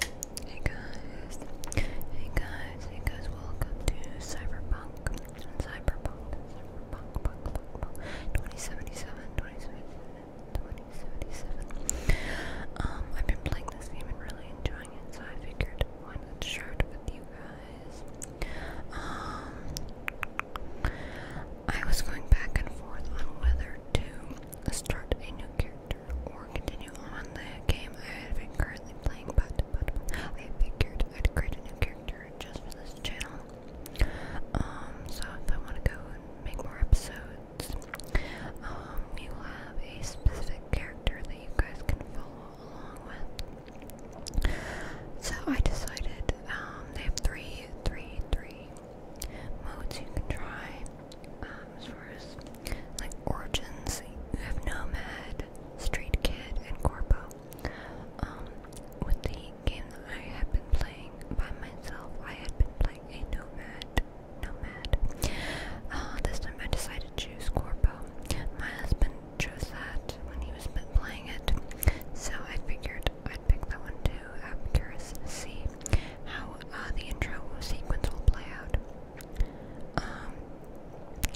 Hey guys, hey guys, hey guys, welcome to Cyberpunk, Cyberpunk, Cyberpunk, 2077, 2077, 2077. Um, I've been playing this game and really enjoying it, so I figured why not share it with you guys. Um, I was going back and forth on whether to start a new character or continue on the game I have been currently playing, but, but, I figured I'd create a new character just for this channel. Um, so if I want to go and make more episodes, um, you will have a specific character that you guys can follow along with. So I decided um, they have three, three, three modes you can try. Um, as far as like origins, you have Nomad, Street Kid, and Corpo. Um, with the game that I had been playing by myself, I had been playing a Nomad. Nomad. Uh, this time I decided to choose Corpo. My husband chose that when he was playing it, so I figured I'd pick that one too. I'm curious see how uh, the intro sequence will play out. Um,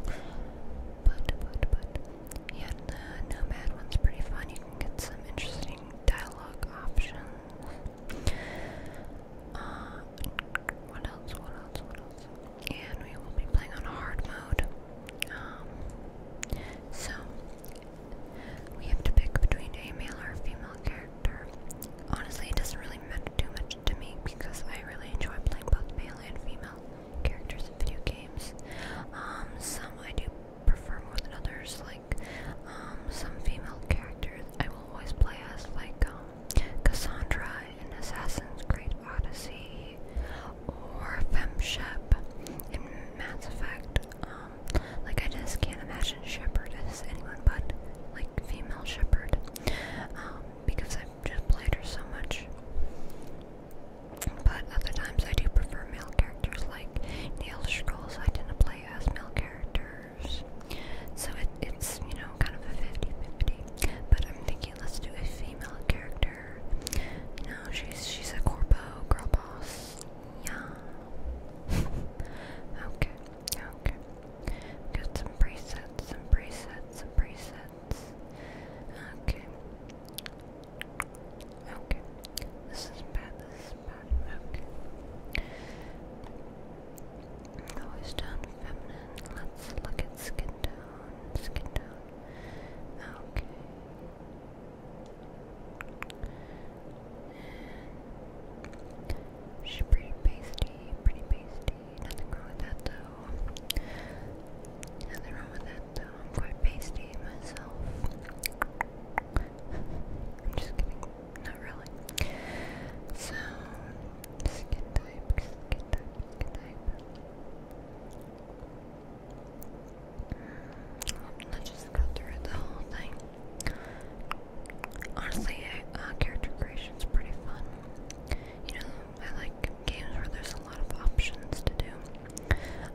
but, but, but, yeah, the Nomad one's pretty fun. You can get some interesting dialogue options. Uh, what else, what else, what else? And we will be playing on hard mode. Um, so, we have to pick between a male or female character. Honestly, it doesn't really matter too much to me because I really enjoy playing both male and female characters in video games. Um, some I do prefer more than others, like um, some female characters I will always play as, like um, Cassandra in Assassin's Creed Odyssey or Femshep in Mass Effect. Um, like I just can't imagine shepherdess, anyone but like female shepherd, um, because I've just played her so much. But other times I do prefer male characters, like the Elder Scrolls I tend to play as male characters. So it, it's, you know, kind of a 50-50. But I'm thinking let's do a female character. You know, she's she's a corpo, girl boss. Yeah. okay, okay. Get some presets, some presets, some presets. Okay. Okay. This is bad, this is bad. Okay. Always down feminine. Let's look at skin tone. Skin tone. Okay. She's pretty pasty, pretty pasty. Nothing wrong with that though. Nothing wrong with that though. I'm quite pasty myself. I'm just kidding. Not really. So, skin type, skin type, skin type. Mm, Let's just go through the whole thing. Honestly, uh, character creation's pretty fun. You know, I like games where there's a lot of options to do.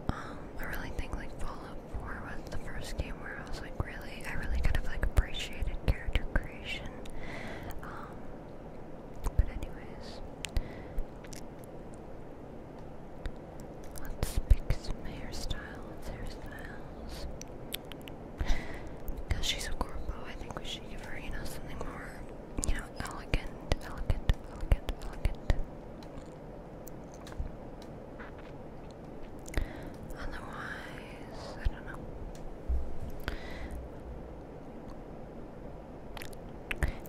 Um, I really think like Fallout 4 was the first game where I was like really, I really kind of like appreciated character creation. Um, but anyways, let's pick some hairstyles, hairstyles. Because she's a corpo, I think we should give her, you know, something more, you know, elegant, elegant, elegant, elegant. Otherwise, I don't know.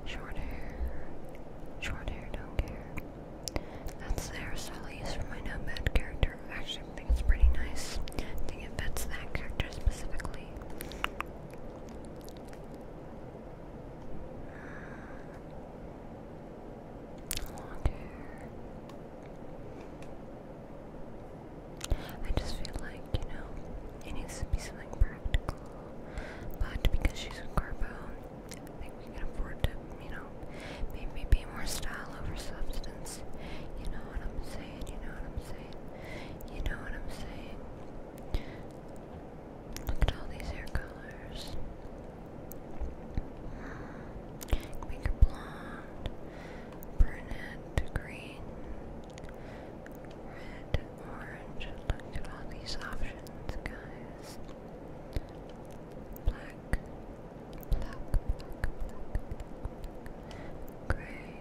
Short hair. Short hair, don't care. That's the hairstyle I use for my nomad character. Actually, I think it's pretty nice. I think it fits that character specifically. I just feel like, you know, it needs to be something practical. But because she's a carbo, I think we can afford to you know, maybe be more style over substance. You know what I'm saying? You know what I'm saying? You know what I'm saying? Look at all these hair colors. Make her blonde, brunette, green, red, orange. Look at all these options, guys. Black, black, black, gray.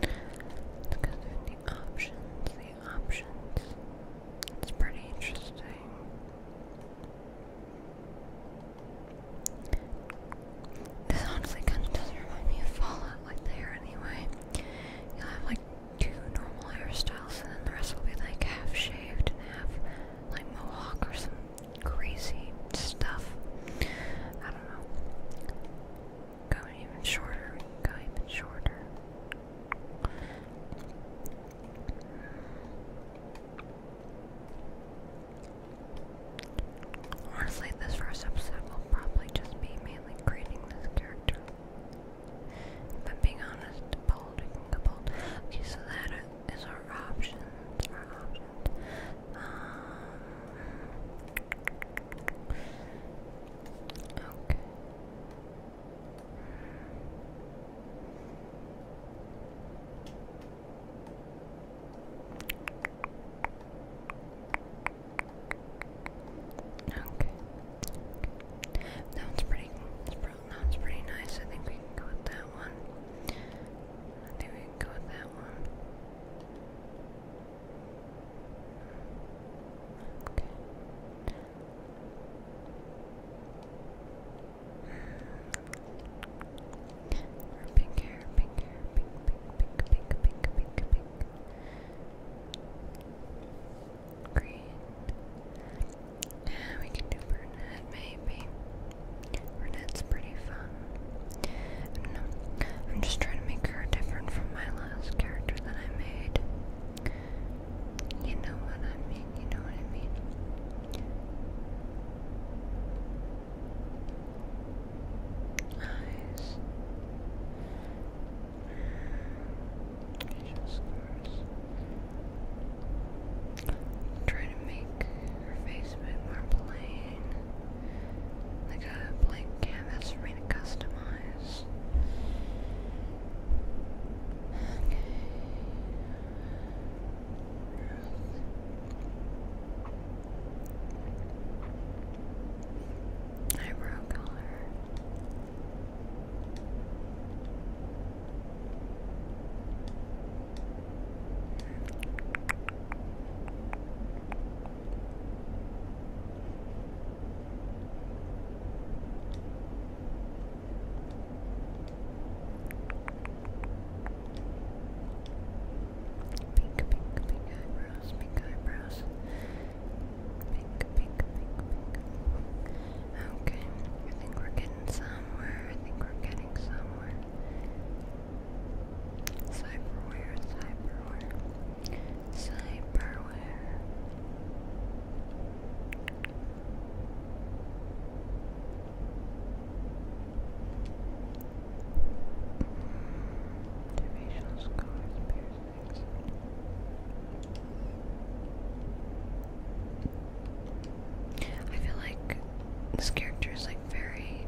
Let's go the options, the options. It's pretty interesting. This honestly kind of doesn't remind me of Fallout, like the anyway. you have like two normal hairstyles, and then the rest will be like half shaved and half like mohawk or some crazy stuff. I don't know. Go even shorter. Go even shorter. Honestly, this first episode will probably just be mainly creating this character. If being honest, Okay, so that is our options. Um, Okay. Okay. That one's pretty. that one's pretty nice. I think we go with that one. I think we go with that one. Okay. Pink hair, pink hair, pink, pink, pink, pink, pink, pink, pink. Green. Uh, we can do brunette, maybe. Brunette's pretty fun. No, I'm just trying to make her different from my last character that I made. You know what I mean, you know what I mean. Eyes. Facial scars. to make her face a bit more plain like a blank canvas for me to customize. Eyebrow color. Pink, pink, pink eyebrows, pink eyebrows. Pink, pink, pink, pink. Okay, I think we're getting somewhere. I think we're getting somewhere. Cyberware, cyberware, cyberware. I feel like this character is like very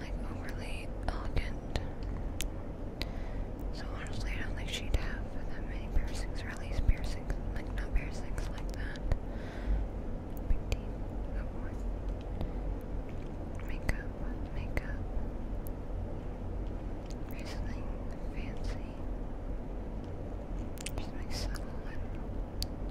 like overly elegant so honestly, I don't think she'd have that many piercings, or at least piercings, like not piercings like that. Big Makeup, makeup. Or fancy. Or something subtle, know. blue.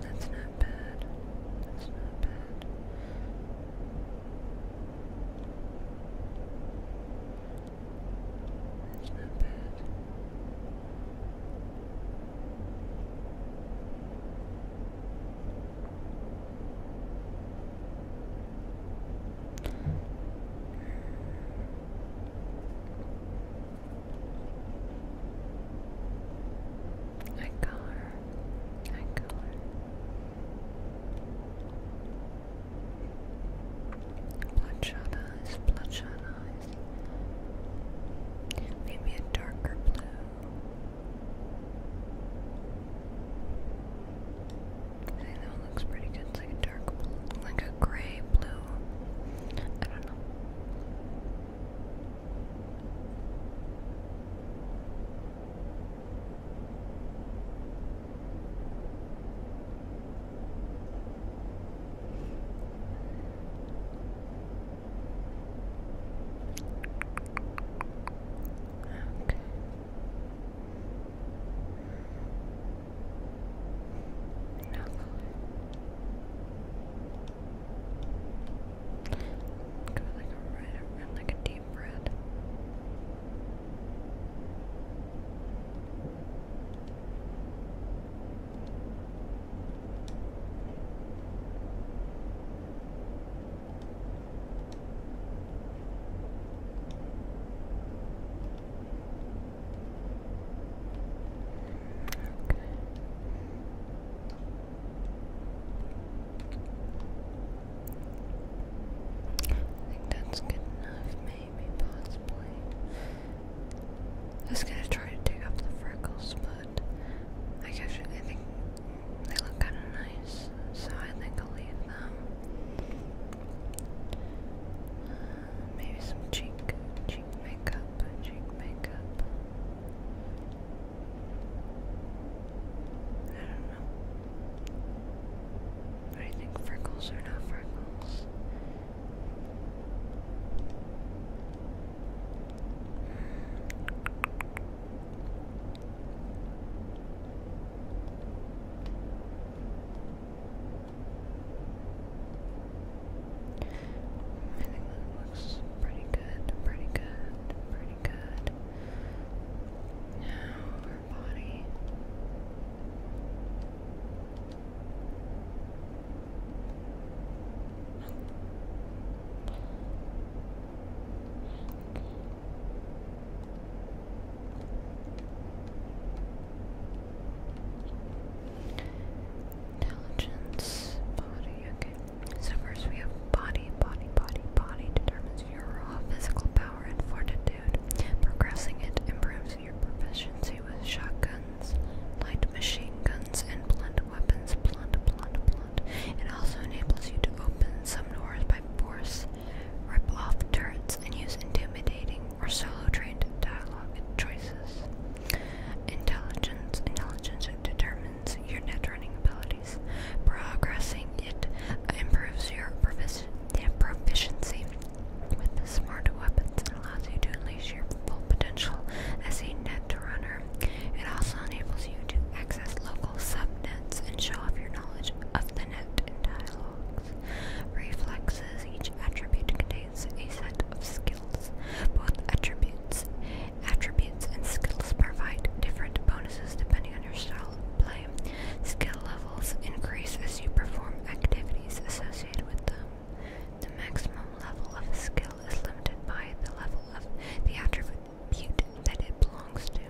That's not bad. That's not bad. That's not bad. I color, I color. Bloodshot eyes, bloodshot eyes. Maybe a darker blue. I think that one looks pretty good. It's like a dark blue, like a gray blue. I don't know. Okay. No color. Go like a red like a deep red. I think that's good enough, maybe, possibly. I was gonna try to dig up the freckles, but I guess I think they look kind of nice, so I think I'll leave them. Uh, maybe some cheek, cheek makeup, cheek makeup. I don't know. I think freckles are not freckles. I think that looks pretty good, pretty good, pretty good. Now our body. Intelligence, body, okay. So first we have body, body, body, body determines your raw physical power and fortitude. Progressing it improves your proficiency with shotguns, light machine guns, and blunt weapons. Blunt, blunt, blunt. It also enables you to open some doors by force, rip off turrets, and use intimidating or solo trained dialogue choices. Intelligence intelligence determines your net running abilities. Progressing it improves your proficiency with the smart weapons and allows you to unleash your full potential as a net runner. It also enables you to access local subnets and show off your knowledge of the net in dialogues. Reflexes each attribute contains a set of skills both attributes, attributes and skills provide different bonuses depending on your style of play. Skill levels increase as you perform activities associated with them. The maximum level of a skill is limited by the level of the attribute that it belongs to.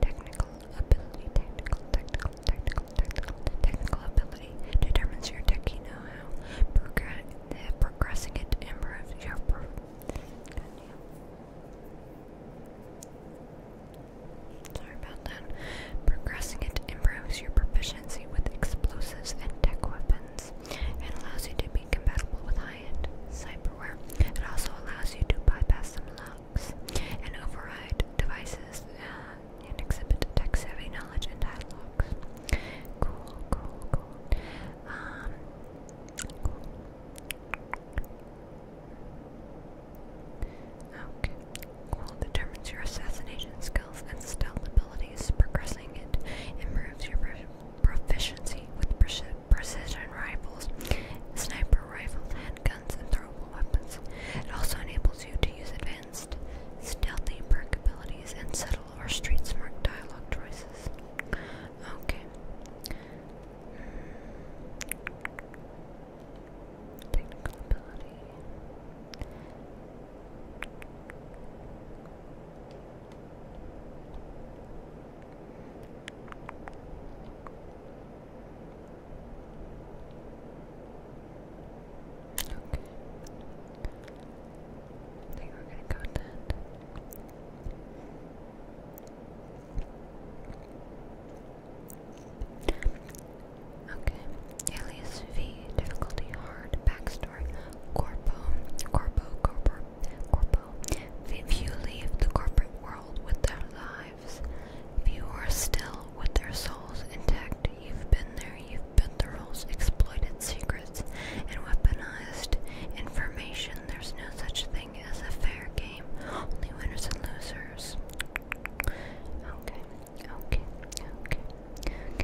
Technical ability, technical, technical, technical, technical, technical ability determines your tech, know how progress, uh, progressing it improves your Sorry about that. Progressing it improves your proficiency with explosives and tech weapons and allows you to be compatible with high-end cyberware. It also allows you to bypass some locks and override devices uh, and exhibit tech-savvy knowledge and dialogues. Cool, cool, cool. Um, cool. Okay. Cool determines your assassination skills and stealth abilities. Progressing it improves your proficiency with precision rifles, sniper rifles, handguns, and throwable weapons. It also enables you to use advanced stealthy perk abilities, and subtle or street smart dialogue choices. Okay. Hmm. Okay. I think we're gonna go with that. Okay. Alias V, difficulty hard, backstory, corpo, corpo, corpo, corpo. If you leave the corporate world with their lives, if you are still with their souls intact, you've been there, you've Benderols exploited secrets and weaponized information. There's no such thing as a fair game, only winners and losers. Okay, okay, okay,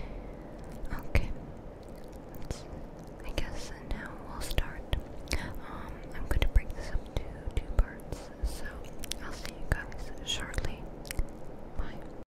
okay, I guess now we'll start. Um, I'm going to break this up to two parts, so I'll see you guys shortly. Bye.